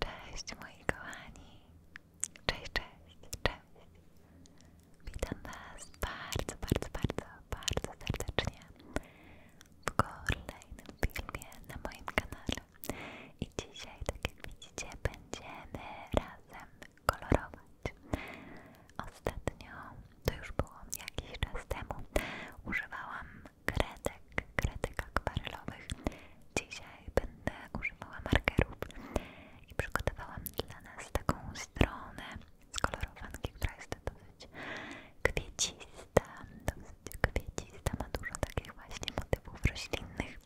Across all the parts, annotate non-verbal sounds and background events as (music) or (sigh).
Cześć moi kochani, cześć, cześć, cześć. Witam Was bardzo, bardzo, bardzo, bardzo serdecznie w kolejnym filmie na moim kanale. I dzisiaj, tak jak widzicie, będziemy razem kolorować. Ostatnio, to już było jakiś czas temu, używałam kredek, kredek akwarelowych. Dzisiaj będę używała markerów i przygotowałam dla nas taką stronę z kolorowanki, która jest dosyć kwiecista, dosyć kwiecista, ma dużo takich właśnie motywów roślinnych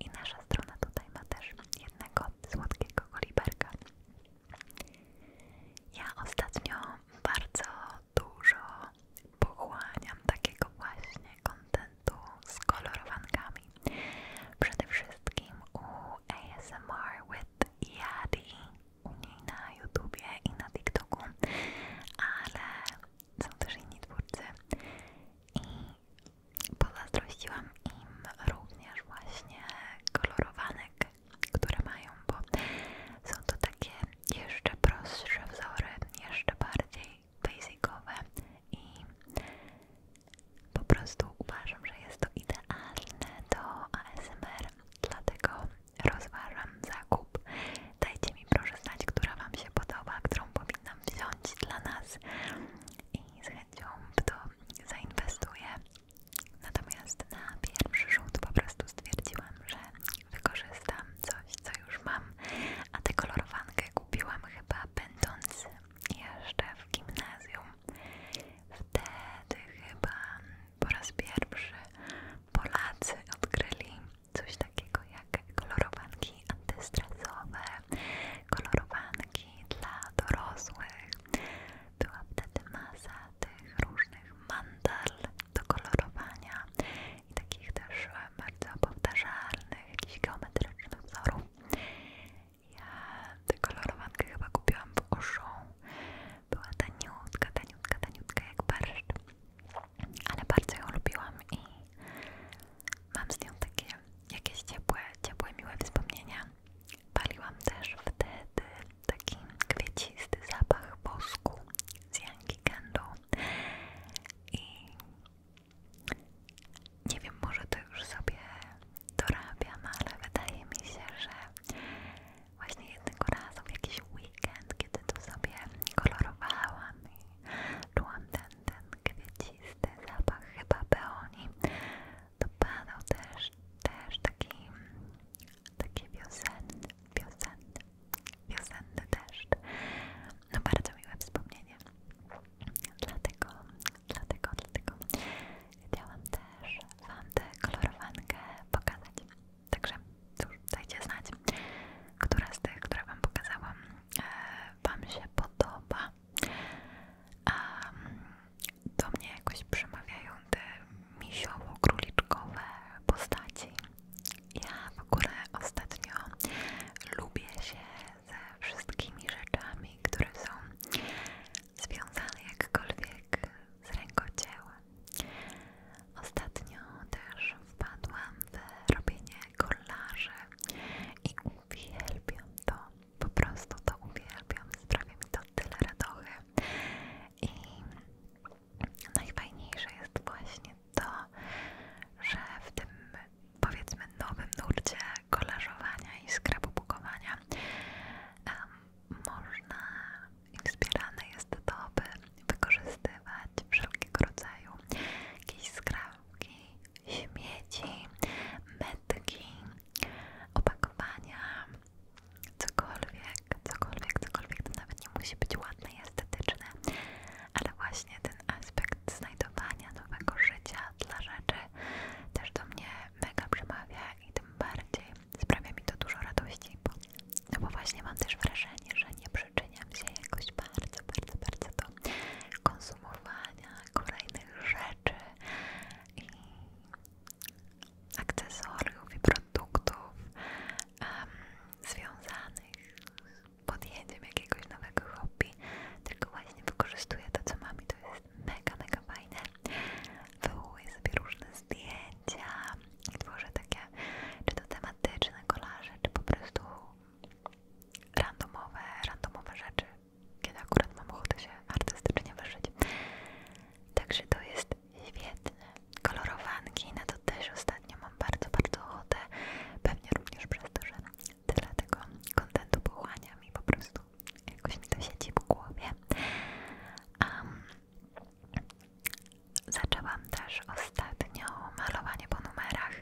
i nasza strona tutaj ma też jednego słodkiego koliberka. Ja ostatnio bardzo dużo pochłaniam takiego właśnie kontentu z kolorowankami. Przede wszystkim u ASMR with Yadi u niej na YouTubie i na TikToku, ale są też inni twórcy i pozazdrościłam im również właśnie kolorowanek, które mają, bo są to takie jeszcze prostsze wzory, jeszcze bardziej basicowe i po prostu uważam, że jest to idealne do ASMR, dlatego rozważam zakup. Dajcie mi proszę znać, która Wam się podoba, którą powinnam wziąć dla nas i z chęcią w to zainwestuję. Natomiast na pierwszy rzut po prostu stwierdziłam, że wykorzystam coś, co już mam, a tę kolorowankę kupiłam chyba będąc jeszcze w gimnazjum. Wtedy chyba po raz pierwszy Polacy odkryli coś takiego jak kolorowanki antystresowe, kolorowanki dla dorosłych. Była wtedy masa tych różnych mandal do kolorowania i takich też e, bardzo powtarzalnych, jakichś geometrycznych wzorów. Ja tę kolorowankę chyba kupiłam wokół Oszą. Była taniutka, taniutka, taniutka jak barszcz. Ale bardzo ją lubiłam i mam z nią takie jakieś ciepłe, ciepłe, miłe wspomnienia. Paliłam też wtedy taki kwiecisty zapach wosku z Yankee Candle i nie wiem, może to już sobie dorabiam, ale wydaje mi się, że właśnie jednego razu w jakiś weekend, kiedy to sobie kolorowałam i czułam ten, kwiecisty zapach chyba peoni, to padał też, też taki, taki wiosenny, wiosenny wiosenny deszcz. No bardzo miłe wspomnienie. Dlatego, dlatego, dlatego chciałam też Wam tę kolorowankę pokazać. Także cóż, dajcie znać, która z tych, które Wam pokazałam, e, Wam się podoba. Um, do mnie jakoś przemawiają te misiowo-króliczkowe postaci ja w ogóle ostatnio lubię się ze wszystkimi rzeczami, które są związane jakkolwiek z rękodziełem. Ostatnio też wpadłam w robienie kolarzy i uwielbiam to, po prostu to uwielbiam, sprawia mi to tyle radochy i najfajniejsze jest właśnie to, że w tym powiedzmy nowym nurcie kolażowania i skrabubukowania um, można i wspierane jest to, by wykorzystywać wszelkiego rodzaju jakieś skrawki, śmieci, metki, opakowania, cokolwiek, cokolwiek, cokolwiek, to nawet nie musi być ładne i estetyczne, ale właśnie ten aspekt znajdowania nowego życia dla rzeczy też do mnie mega przemawia i tym bardziej sprawia mi to dużo radości, bo, no bo właśnie mam też wrażenie, że nie przyczyniam się jakoś bardzo, bardzo, bardzo do konsumowania kolejnych rzeczy i akcesoriów i produktów związanych podjęciem jakiegoś nowego hobby, tylko właśnie wykorzystuję to, co mam i to jest mega, mega fajne. Wywołuję sobie różne zdjęcia i tworzę takie, czy to tematyczne kolaże, czy po prostu randomowe, randomowe rzeczy, kiedy akurat mam ochotę się artystycznie wyżyć. Także to jest świetne, kolorowanki, na no to też ostatnio mam bardzo, bardzo ochotę. Pewnie również przez to, że tyle tego kontentu pochłaniam mi po prostu jakoś mi to siedzi w głowie. zaczęłam też ostatnio malowanie po numerach.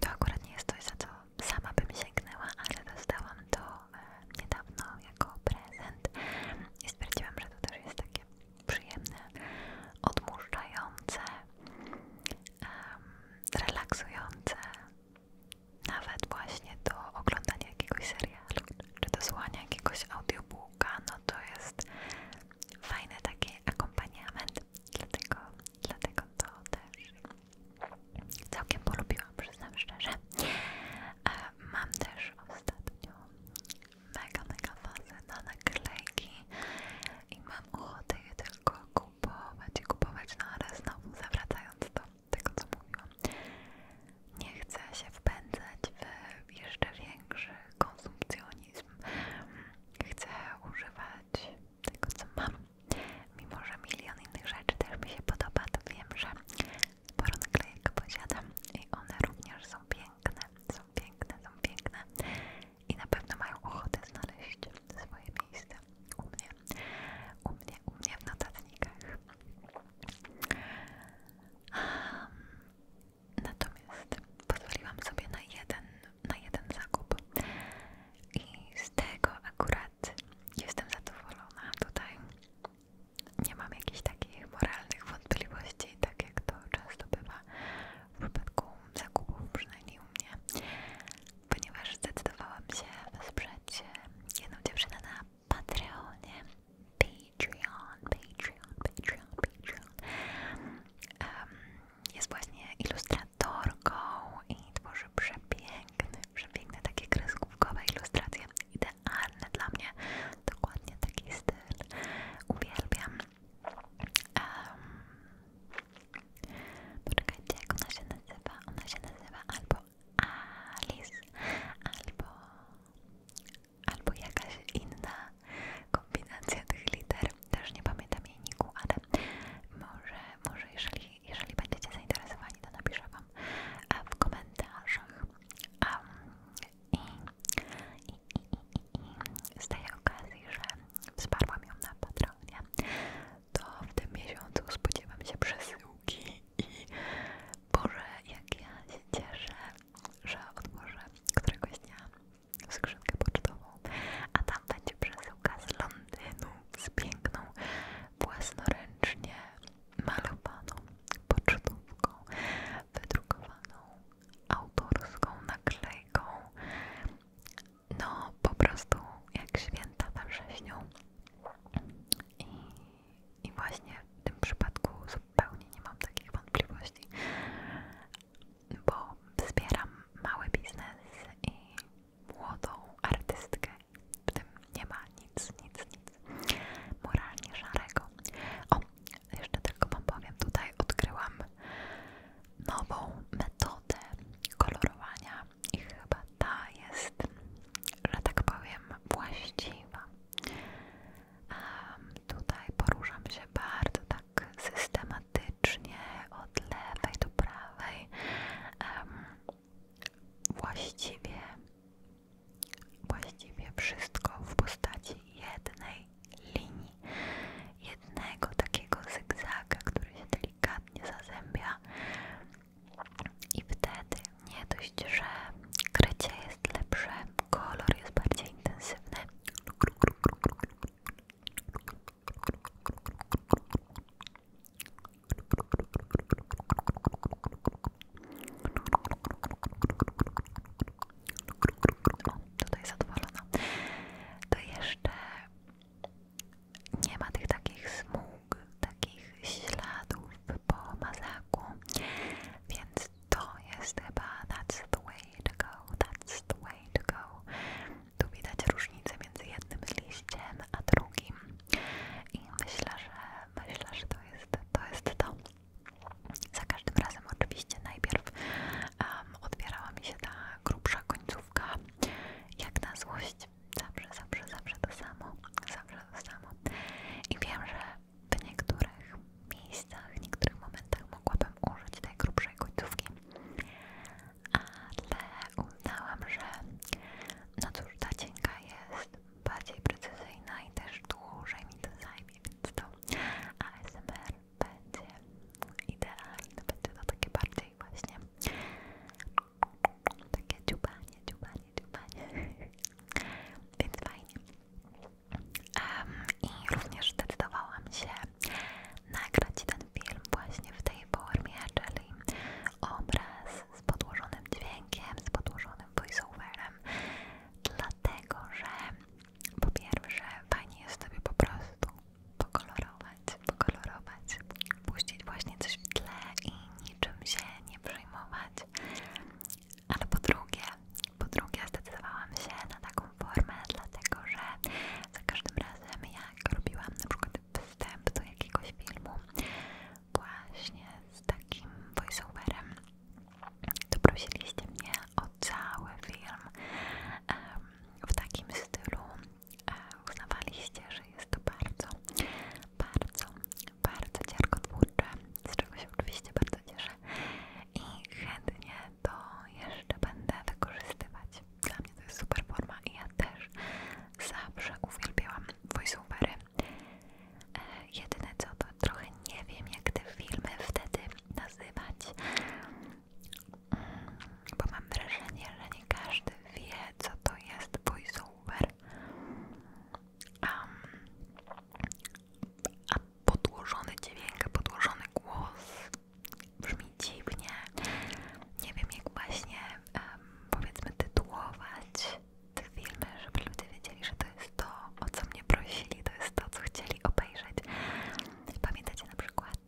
To akurat nie jest coś, za co sama bym sięgnęła, ale dostałam to e, niedawno jako prezent i stwierdziłam, że to też jest takie przyjemne, odmurzające, relaksujące, nawet właśnie do oglądania jakiegoś serialu czy do słuchania jakiegoś audiobooka, no to jest fajny taki akompaniament, dlatego, dlatego to też całkiem polubiłam, przyznam szczerze. E, mam też ostatnio mega, mega fazę na naklejki i mam ochotę je tylko kupować i kupować naraz znowu, zawracając do tego, co mówiłam. Nie chcę się wpędzać w jeszcze większy konsumpcjonizm. Chcę używać tego, co mam. Mimo, że milion innych rzeczy też mi się podoba, to wiem, że sporo naklejek posiadam i one również są piękne, są piękne, są piękne i na pewno mają ochotę znaleźć swoje miejsce u mnie, u mnie, u mnie w notatnikach. Natomiast pozwoliłam sobie na jeden, na jeden zakup i z tego akurat jestem zadowolona tutaj. Nie mam jakichś takich moralnych wątpliwości, tak jak to często bywa w przypadku zakupów, przynajmniej u mnie, ponieważ zdecydowałam się wesprzeć jedną dziewczynę na Patreonie. Patreon, Patreon, Patreon, Patreon. jest właśnie ilustratorką i tworzy przepiękne, przepiękne takie kreskówkowe ilustracje. Idealne dla mnie, dokładnie taki styl. Uwielbiam. Um, poczekajcie, jak ona się nazywa? Ona się nazywa albo Alice, albo, albo jakaś inna kombinacja tych liter. Też nie pamiętam jej niku, ale może, może jeżeli, jeżeli będziecie zainteresowani, to napiszę Wam e, w komentarzach. Um, i, z tej okazji, że wsparłam ją na Patronie, to w tym miesiącu spodziewam się przesyłki i Boże, jak ja się cieszę, że otworzę któregoś dnia skrzynkę pocztową, a tam będzie przesyłka z Londynu, z piękną, własnoręcznie malowaną pocztówką, wydrukowaną autorską naklejką. No, po prostu jak święta we wrześniu. I, właśnie w tym przypadku zupełnie nie mam takich wątpliwości, bo wspieram mały biznes i młodą artystkę. W tym nie ma nic, nic, nic moralnie szarego. Jeszcze tylko Wam powiem, tutaj odkryłam nową metodę kolorowania i chyba ta jest, że tak powiem, właściwa. tutaj poruszam się bardzo tak systematycznie od lewej do prawej. właściwie, właściwie wszystko w postaci jednej linii, jednego takiego zygzaka, który się delikatnie zazębia i wtedy nie dość, że krycie jest lepsze, kolor jest bardziej intensywny tutaj zadowolona, to jeszcze nie ma tych takich smug, takich śladów po mazaku, więc to jest chyba that's the way to go, that's the way to go. Tu widać różnicę między jednym liściem a drugim i myślę, że myślę, że to jest to. Jest to. Za każdym razem oczywiście najpierw um, odbierała mi się ta grubsza końcówka, jak na złość. Zawsze, zawsze, zawsze to samo, zawsze to samo. I wiem, że w niektórych miejscach, w niektórych momentach mogłabym użyć tej grubszej końcówki, ale uznałam, że no cóż, ta cienka jest bardziej precyzyjna i też dłużej mi to zajmie, więc to ASMR będzie idealne, będzie to takie bardziej właśnie takie dziubanie, dziubanie, dziubanie (laughs) więc fajnie i również zdecydowałam się nagrać ten film właśnie w tej formie, czyli obraz z podłożonym dźwiękiem, z podłożonym voiceoverem dlatego, że po pierwsze, fajnie jest sobie po prostu pokolorować, pokolorować, puścić właśnie coś w tle i niczym się nie przyjmować, Ale po drugie, po drugie zdecydowałam się na taką formę, dlatego że za każdym razem jak robiłam na przykład wstęp do jakiegoś filmu właśnie z takim voiceoverem, doprosiliście mnie o cały film w takim stylu. E, uznawaliście, że jest to bardzo, bardzo, bardzo ciarkotwórcze, z czego się oczywiście bardzo cieszę i chętnie to jeszcze będę wykorzystywać. Dla mnie to jest super forma i ja też zawsze uwielbiałam voiceovery. E, jedyne co, to trochę nie wiem jak te filmy wtedy nazywać, mm, bo mam wrażenie, że nie każdy wie, co to jest voiceover. a podłożony dźwięk, podłożony głos brzmi dziwnie. Nie wiem, jak właśnie powiedzmy tytułować te filmy, żeby ludzie wiedzieli, że to jest to, o co mnie prosili, to jest to, co chcieli obejrzeć. No pamiętacie na przykład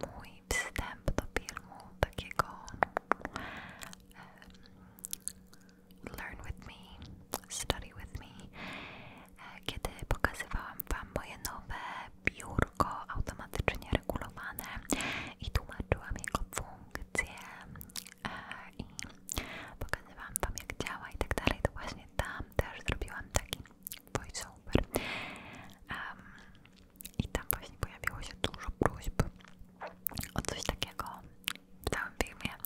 mój wstęp do filmu takiego Learn with me, Study with me, e, kiedy pokazywałam Wam moje nowe biurko automatycznie regulowane i tłumaczyłam jego funkcje e, i pokazywałam Wam jak działa i tak dalej, to właśnie tam też zrobiłam taki voiceover um, i tam właśnie pojawiło się dużo próśb o coś takiego w całym filmie.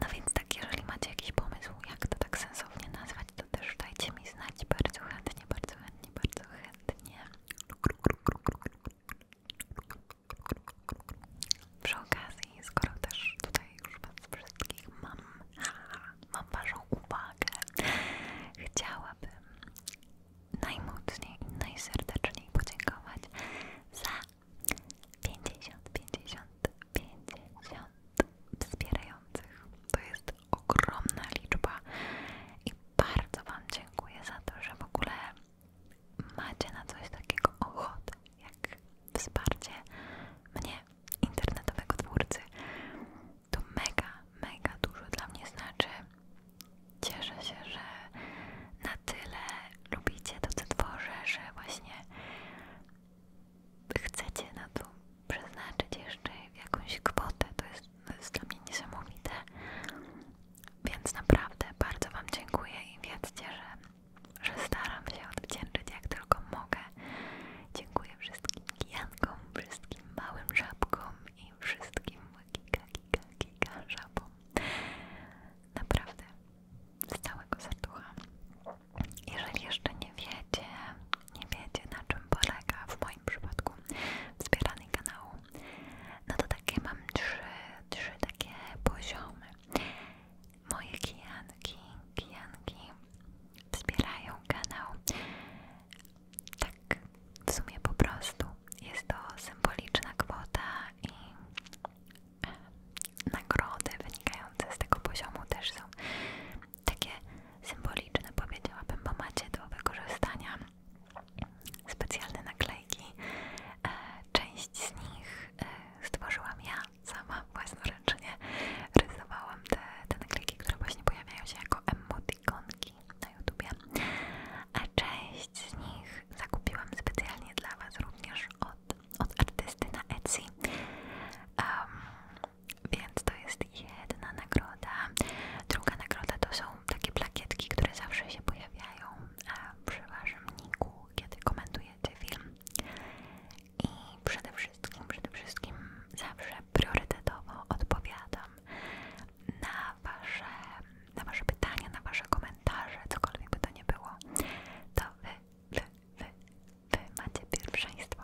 No więc tak, jeżeli macie jakiś pomysł, jak to tak sensownie nazwać, to też dajcie mi znać bardzo chętnie, bardzo chętnie, bardzo chętnie. Przy okazji, skoro też tutaj już was wszystkich mam, (laughs) mam waszą uwagę, chciałabym najmocniej najserdeczniej podziękować za 50, 50, 50 wspierających. To jest ogromna liczba i bardzo wam dziękuję za to, że w ogóle macie na coś takiego ochotę, jak wsparcie mnie internetowego twórcy, to mega, mega dużo dla mnie znaczy. Cieszę się, że na tyle lubicie to, co tworzę, że właśnie chcecie na to przeznaczyć jeszcze jakąś kwotę. To jest, to jest dla mnie niesamowite. Więc naprawdę bardzo Wam dziękuję i wiedzcie, że że staram się odwdzięczyć jak tylko mogę. Dziękuję wszystkim kijankom, wszystkim małym żabkom i wszystkim kika, kika, żabom. Naprawdę, z całego serducha. Jeżeli jeszcze nie wiecie, nie wiecie na czym polega w moim przypadku wspieranie kanału, no to takie mam trzy, trzy takie poziomy moje kijanki, kijanki wspierają kanał. Tak, w sumie po prostu jest to symboliczna kwota i e, nagrody wynikające z tego poziomu też są takie symboliczne, powiedziałabym, bo macie do wykorzystania specjalne naklejki. E, część z nich e, stworzyłam ja, sama własnoręcznie rysowałam te, te które właśnie pojawiają się jako emotikonki na YouTubie. A część z nich zakupiłam specjalnie dla Was również od, artysty na Etsy. więc to jest jedna nagroda. Druga nagroda to są takie plakietki, które zawsze się pojawiają przy Waszym niku, kiedy komentujecie film i przede wszystkim, przede wszystkim zawsze priorytetowo odpowiadam na wasze, na wasze pytania, na wasze komentarze, cokolwiek by to nie było, to wy, wy, wy, wy macie pierwszeństwo.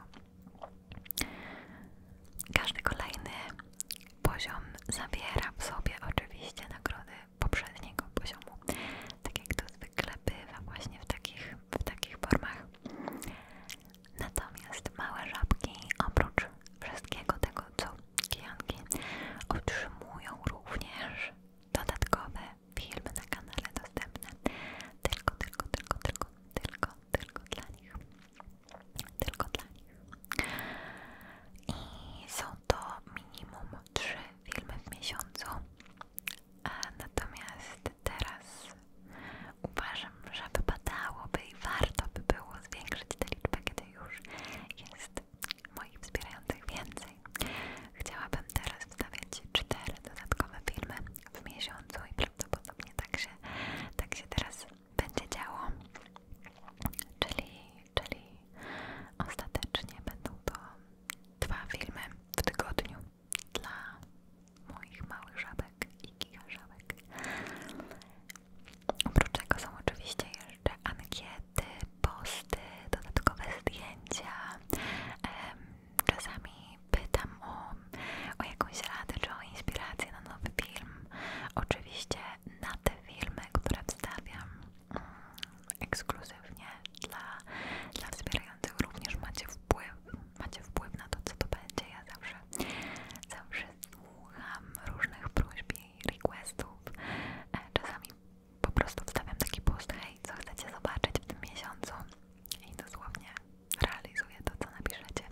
Każdy kolejny poziom zawiera w sobie oczywiście nagrody poprzedniego poziomu, tak jak to zwykle bywa właśnie w takich, w takich formach. Natomiast małe żabki oprócz wszystkiego tego, co kijanki otrzymują również dodatkowe filmy na kanale dostępne tylko, tylko, tylko, tylko, tylko, tylko dla nich. Tylko dla nich. I są to minimum trzy filmy w miesiącu. Natomiast teraz uważam, że wypadałoby i warto by było zwiększyć tę liczbę, kiedy już jest moich wspierających więcej. Chciałabym teraz wstawić cztery dodatkowe filmy w miesiącu i prawdopodobnie tak się, tak się teraz będzie działo. Czyli, czyli ostatecznie będą to dwa filmy w tygodniu dla moich małych żabek i giga żabek. Oprócz tego są oczywiście jeszcze ankiety, posty, dodatkowe zdjęcia. Czasami pytam o, o jakąś radę czy o inspirację na nowy film. Oczywiście na te filmy, które wstawiam, mm, ekskluzywnie dla, dla wspierających również macie wpływ, macie wpływ na to, co to będzie. Ja zawsze, zawsze słucham różnych próśb i requestów. E, czasami po prostu wstawiam taki post, hej, co chcecie zobaczyć w tym miesiącu i dosłownie realizuję to, co napiszecie.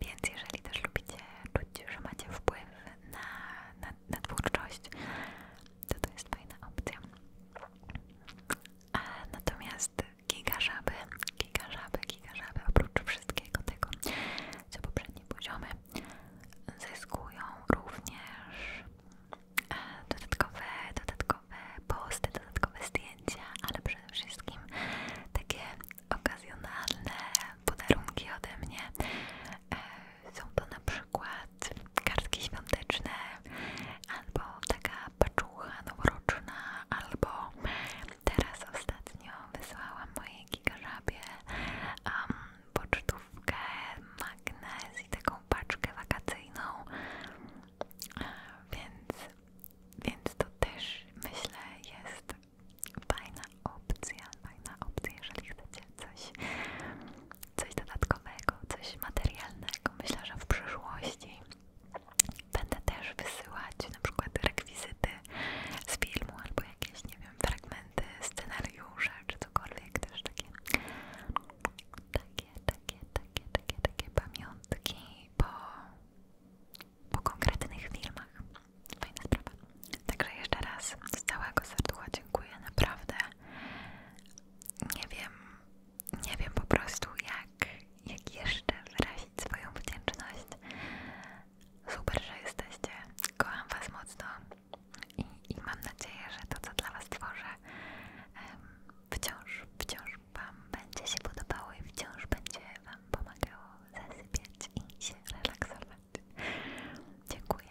Więc jeżeli też lubicie czuć, że macie wpływ na, na, na twórczość, to to jest fajna opcja. Natomiast giga żaby, giga oprócz wszystkiego tego, co poprzednie poziomy, zyskują również e, dodatkowe, dodatkowe posty, dodatkowe zdjęcia, ale przede wszystkim takie okazjonalne podarunki ode mnie. E, są to na przykład przykład kartki świąteczne, albo taka paczucha noworoczna, albo teraz ostatnio wysłałam mojej gigażabie um, pocztówkę, magnes i taką paczkę wakacyjną, więc, więc to też myślę jest fajna opcja, fajna opcja, jeżeli chcecie coś coś dodatkowego, coś materialnego. Myślę, że w przyszłości będę też wysyłać na przykład rekwizyty z filmu albo jakieś, nie wiem, fragmenty scenariusza czy cokolwiek, też takie takie, takie, takie, takie, takie pamiątki po, po konkretnych filmach. Fajna sprawa. Także jeszcze raz z całego serducha dziękuję, naprawdę. Nie wiem, nie wiem po prostu jak, jak jeszcze wyrazić swoją wdzięczność. Super, że jesteście. Kocham Was mocno i, mam nadzieję, że to, co dla Was tworzę, wciąż, wciąż Wam będzie się podobało i wciąż będzie Wam pomagało zasypiać i się relaksować. Dziękuję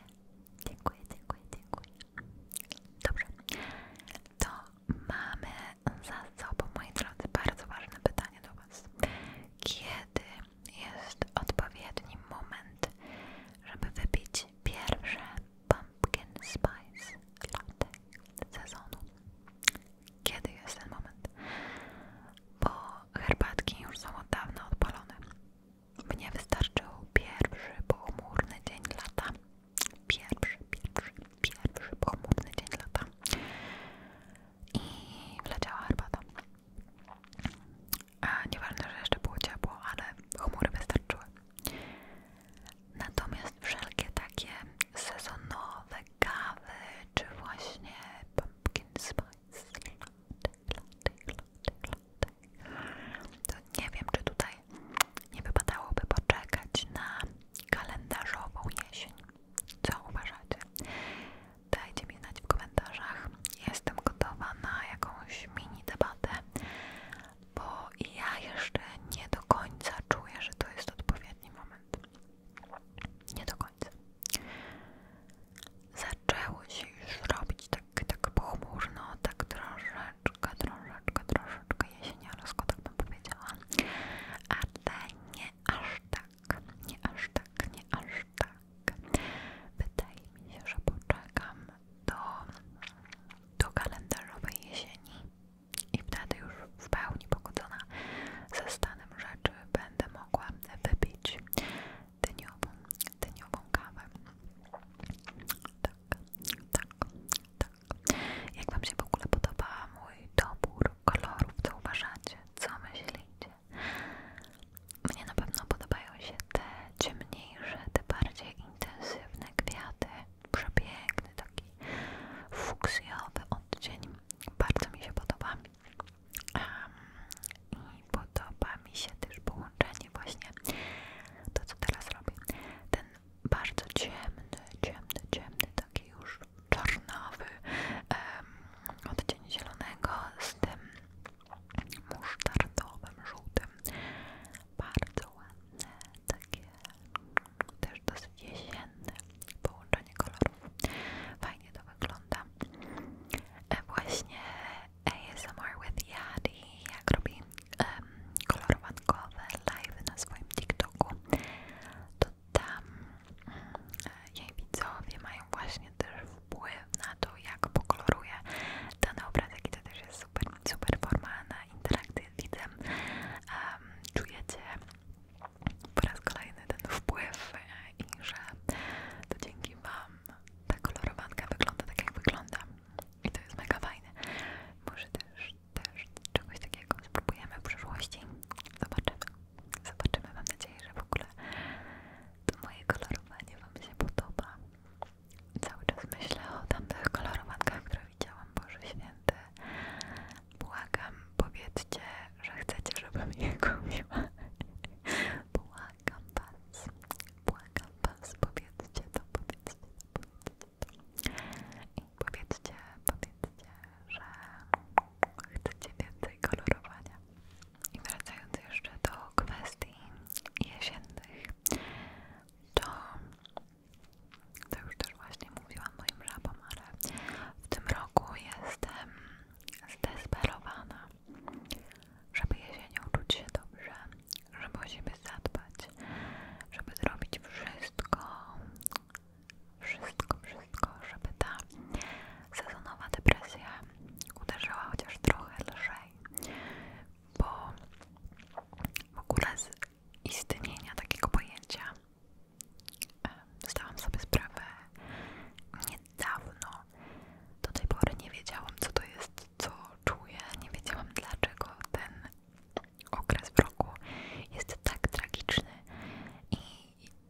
Dziękuję, dziękuję, dziękuję. Dobrze. To mamy za sobą, moi drodzy, bardzo ważne pytanie do Was. Kiedy jest odpowiedni moment, żeby wypić pierwsze pumpkin spice latte sezonu? Kiedy jest ten moment? Bo herbatki już są od dawna odpalone. Mnie wystarczył pierwszy pochmurny dzień lata Pierwszy, pierwszy, pierwszy pochmurny dzień lata i wleciała herbata. A nieważne, że jeszcze było ciepło, ale chmury wystarczyły. Natomiast wszelkie takie sezonowe kawy, czy właśnie pumpkin spice, latte, latte, latte, latte, to nie wiem, czy tutaj nie wypadałoby poczekać na kalendarzową jesień. Co uważacie? Dajcie mi znać w komentarzach. Jestem gotowa na jakąś mini debatę, bo ja jeszcze nie do końca czuję, że to jest odpowiedni moment. Nie do końca. Zaczęło się już robić tak, tak pochmurno, tak troszeczkę troszeczkę, troszeczkę, troszeczkę jesieniarsko, tak bym powiedziała, ale nie aż tak, nie aż tak, nie aż tak. Wydaje mi się, że poczekam do, do kalendarzowej jesieni i wtedy już w pełni pogodzona ze stanem rzeczy będę mogła wypić dniową, dniową kawę. Tak, tak, tak, Jak Wam się w ogóle podoba mój dobór kolorów, co uważacie? Co myślicie? Mnie na pewno podobają się te ciemniejsze, te bardziej intensywne kwiaty. Przepiękny, taki fuksjowy odcień. Bardzo mi się podoba. mi I podoba mi się też połączenie właśnie to, co teraz robię. Ten bardzo ciemny, ciemny, ciemny, taki już czarnawy um, odcień zielonego z tym musztardowym, żółtym. Bardzo ładne, takie też dosyć jesienne połączenie kolorów. Fajnie to wygląda. E, właśnie ASMR with Yadi, jak robi kolorowankowe live na swoim TikToku, to tam mm, jej widzowie mają właśnie też wpływ na to, jak pokoloruje dany obrazek i to też jest super, super forma na interakcję czujecie po raz kolejny ten wpływ e, i że to dzięki Wam ta kolorowanka wygląda tak, jak wygląda. I to jest mega fajne. Może też, też czegoś takiego spróbujemy w przyszłości. Zobaczymy. Zobaczymy. Mam nadzieję, że w ogóle to moje kolorowanie Wam się podoba. Cały czas myślę o tamtych kolorowankach, które widziałam. Boże Święty. Błagam, powiedzcie, że chcecie, żebym je kupiła. (laughs) Błagam Was. Błagam Was. Powiedzcie to, powiedzcie to, powiedzcie. I powiedzcie, powiedzcie, że chcecie więcej kolorowania. I wracając jeszcze do kwestii jesiennych, to, to już też właśnie mówiłam moim żabom, ale w tym roku jestem zdesperowana, żeby jesienią czuć się dobrze żeby o zadbać, żeby zrobić wszystko, wszystko, wszystko, żeby ta sezonowa depresja uderzała chociaż trochę lżej, bo w ogóle z istnienia takiego pojęcia zdałam sobie sprawę niedawno. Do tej pory nie wiedziałam, co to jest, co czuję, nie wiedziałam, dlaczego ten okres w roku jest tak tragiczny i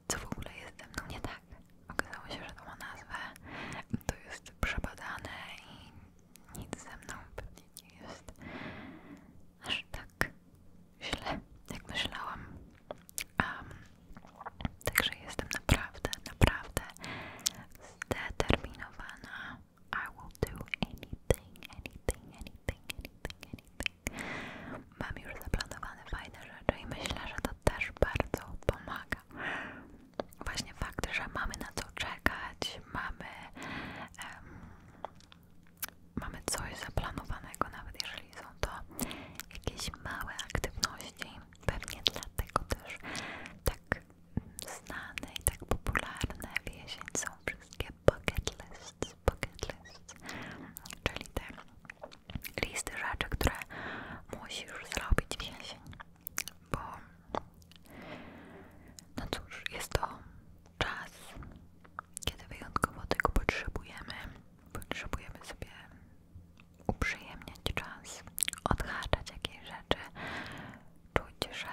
co w ogóle jest ze mną nie tak. Okazało się, że to ma nazwę, to jest przebadane i nic ze mną pewnie nie jest aż tak źle, jak myślałam. Um, także jestem naprawdę, naprawdę zdeterminowana i will do anything, anything, anything, anything, anything. Mam już zaplanowane fajne rzeczy i myślę, że to też bardzo pomaga. Właśnie fakt, że mamy na co czekać, mamy, mamy coś zaplanowanego, nawet jeżeli są to jakieś małe aktywności. Pewnie dlatego też tak tak znane i tak popularne w jesień są wszystkie bucket lists, bucket lists czyli te listy rzeczy, które musisz zrobić w jesień bo no cóż, jest to czas, kiedy wyjątkowo tego potrzebujemy potrzebujemy sobie uprzyjemniać czas, odhaczać jakieś rzeczy czuć, że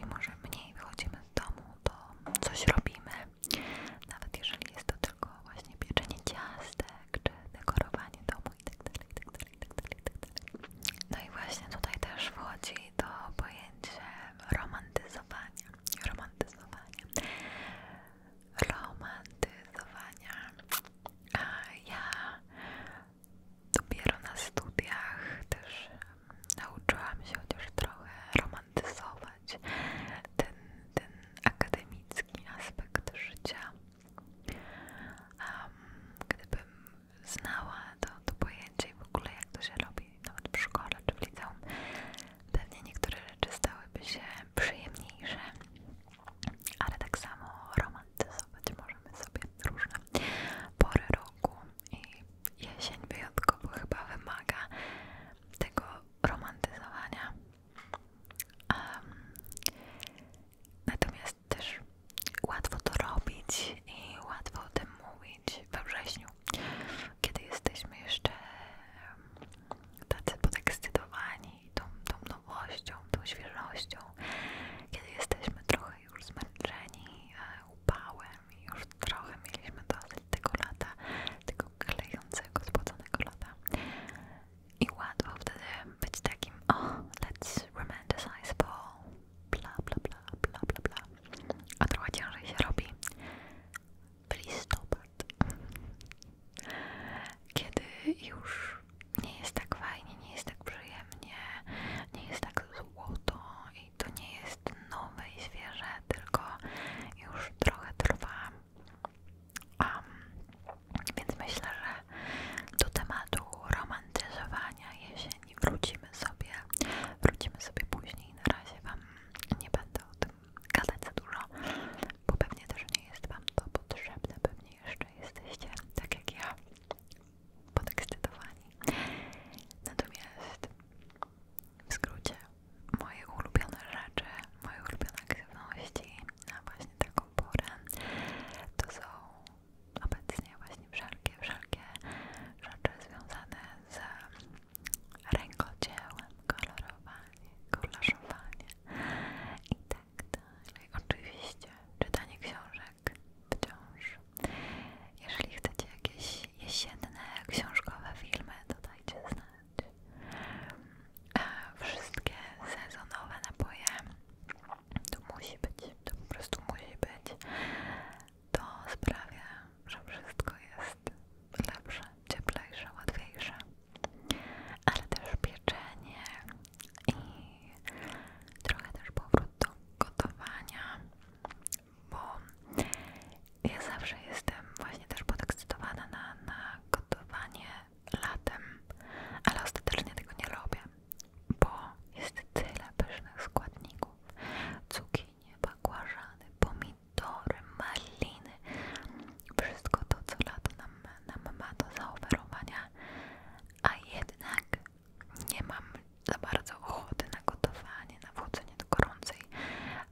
mimo, że mniej wychodzimy z domu, to coś robimy. Nawet jeżeli jest to tylko właśnie pieczenie ciastek, czy dekorowanie domu itd., itd., itd. No i właśnie tutaj też wchodzi to pojęcie romantyzowania. Romantyzowania. Romantyzowania. A ja dopiero na studiach też nauczyłam się chociaż trochę romantyzować ten, ten akademicki aspekt życia. gdybym znała to, to pojęcie i w ogóle jak to się robi, nawet w szkole czy w liceum, pewnie niektóre rzeczy stałyby się przyjemniejsze, ale tak samo romantyzować możemy sobie różne pory roku, i jesień wyjątkowo chyba wymaga tego romantyzowania. natomiast też łatwo to robić i łatwo o tym mówić we wrześniu, kiedy jesteśmy jeszcze tacy podekscytowani tą, nowością, tą świeżością, kiedy jesteśmy trochę już zmęczeni e, upałem i już trochę mieliśmy dosyć tego lata, tego klejącego, spłaconego lata. I łatwo wtedy być takim, o, let's romanticize fall, bla bla bla bla bla bla. A trochę ciężej się robi w listopad, kiedy już nie jest tak fajnie, nie jest tak przyjemnie, nie jest tak i to nie jest nowe i świeże, tylko już trochę trwa. więc myślę, że do tematu romantyzowania jesieni wrócimy sobie. Wrócimy sobie później. Na razie Wam nie będę o tym gadać za dużo, bo pewnie też nie jest Wam to potrzebne. Pewnie jeszcze jesteście, tak jak ja, podekscytowani. Natomiast w skrócie moje ulubione rzeczy, moje ulubione aktywności na właśnie taką porę to są obecnie właśnie wszelkie, wszelkie rzeczy związane z rękodziełem, kolorowaniem, kolaszowanie i tak Oczywiście czytanie książek wciąż jeżeli chcecie jakieś jesienne, książkowe filmy, to dajcie znać. Wszystkie sezonowe napoje to musi być, to po prostu musi być. To sprawia, że wszystko jest lepsze, cieplejsze, łatwiejsze. Ale też pieczenie i trochę też powrót do gotowania, bo ja zawsze jestem właśnie też podekscytowana na, na gotowanie latem, ale ostatecznie tego nie robię, bo jest tyle pysznych składników, cukinie, bakłażany, pomidory, maliny, wszystko to co lato nam, nam ma do zaoferowania, a jednak nie mam za bardzo ochoty na gotowanie, na wchodzenie do gorącej,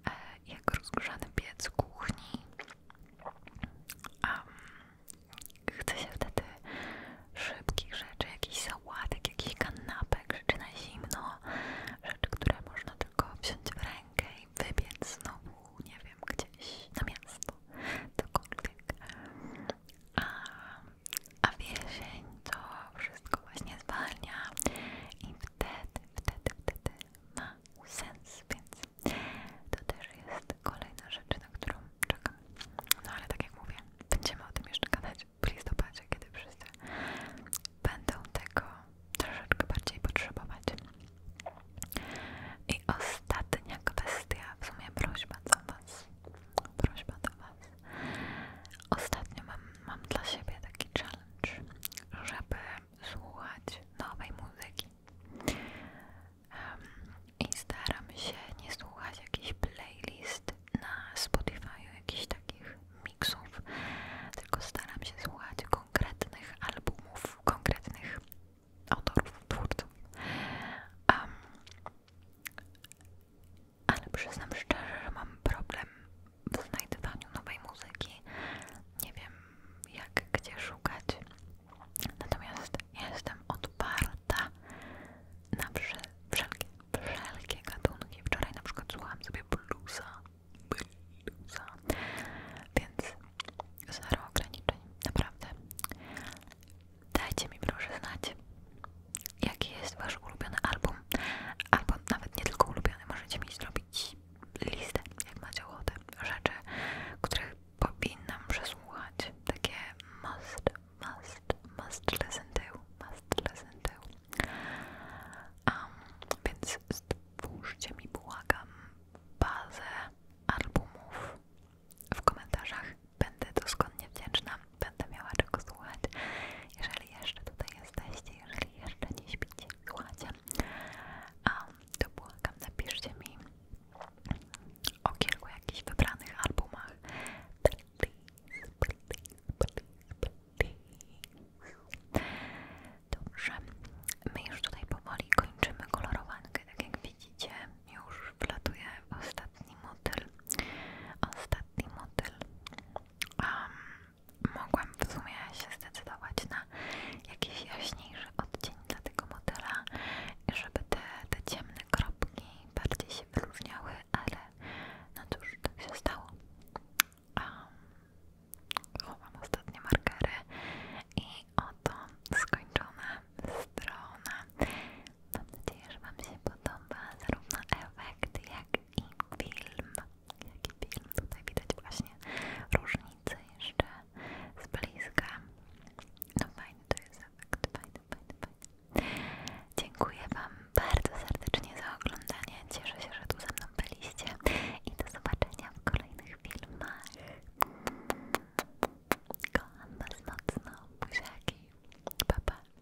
e, jak rozgrzany piec kuchni. Um, chce się wtedy szybkich rzeczy, jakichś sałatek, jakichś kanapek, rzeczy na zimno, rzeczy, które można tylko wziąć w rękę i wybiec znowu, nie wiem, gdzieś na miasto, cokolwiek. A, a wiesień to wszystko właśnie zwalnia i wtedy, wtedy, wtedy ma sens, więc to też jest kolejna rzecz, na którą czekam. No ale tak jak mówię, będziemy o tym jeszcze gadać w listopadzie, kiedy wszyscy będą tego troszeczkę bardziej potrzebować. I ostatnia kwestia, w sumie prośba do Was. Prośba do Was. Ostatnio mam, dla siebie taki challenge, żeby słuchać nowej muzyki. Um, I staram się nie słuchać jakichś playlist na Spotifyu, jakichś takich miksów, tylko staram się słuchać konkretnych albumów, konkretnych autorów, twórców ale przyznam szczerze, że mam problem w znajdywaniu nowej muzyki. Nie wiem jak, gdzie szukać. Natomiast jestem odparta na wszelkie, wszelkie gatunki. Wczoraj na przykład słuchałam sobie bluesa, bluesa, więc zero ograniczeń, naprawdę. Dajcie mi proszę znać, jaki jest wasz ulubiony album, album nawet nie tylko ulubiony, możecie mi zrobić listę, jak macie ochotę, rzeczy, których powinnam przesłuchać, takie must, must, must listen to, must listen to. Um, więc stwórzcie mi, błagam, bazę albumów w komentarzach. Będę doskonnie wdzięczna, będę miała czego słuchać. Jeżeli jeszcze tutaj jesteście, jeżeli jeszcze nie śpicie, słuchacie, um, to błagam, napiszcie mi o kilku jakichś wybranych albumach. Dobrze, my już tutaj powoli kończymy kolorowankę, tak jak widzicie już wlatuje ostatni motyl. Ostatni motyl. Um, mogłam w sumie się zdecydować na jakiś jaśniejszy odcień dla tego motyla, żeby te, te ciemne kropki bardziej się wyróżniały, ale no cóż, tak się stało. Um, chowam ostatnie markery i oto skończona strona Mam nadzieję, że Wam się podoba zarówno efekt, jak i film. Jaki film? Tutaj widać właśnie różnice jeszcze z bliska. No fajny to jest efekt, fajny, fajny, fajny. Dziękuję Wam bardzo serdecznie za oglądanie. Cieszę się, że tu ze mną byliście i do zobaczenia w kolejnych filmach. Kocham Was mocno. Buziaki. Pa, pa.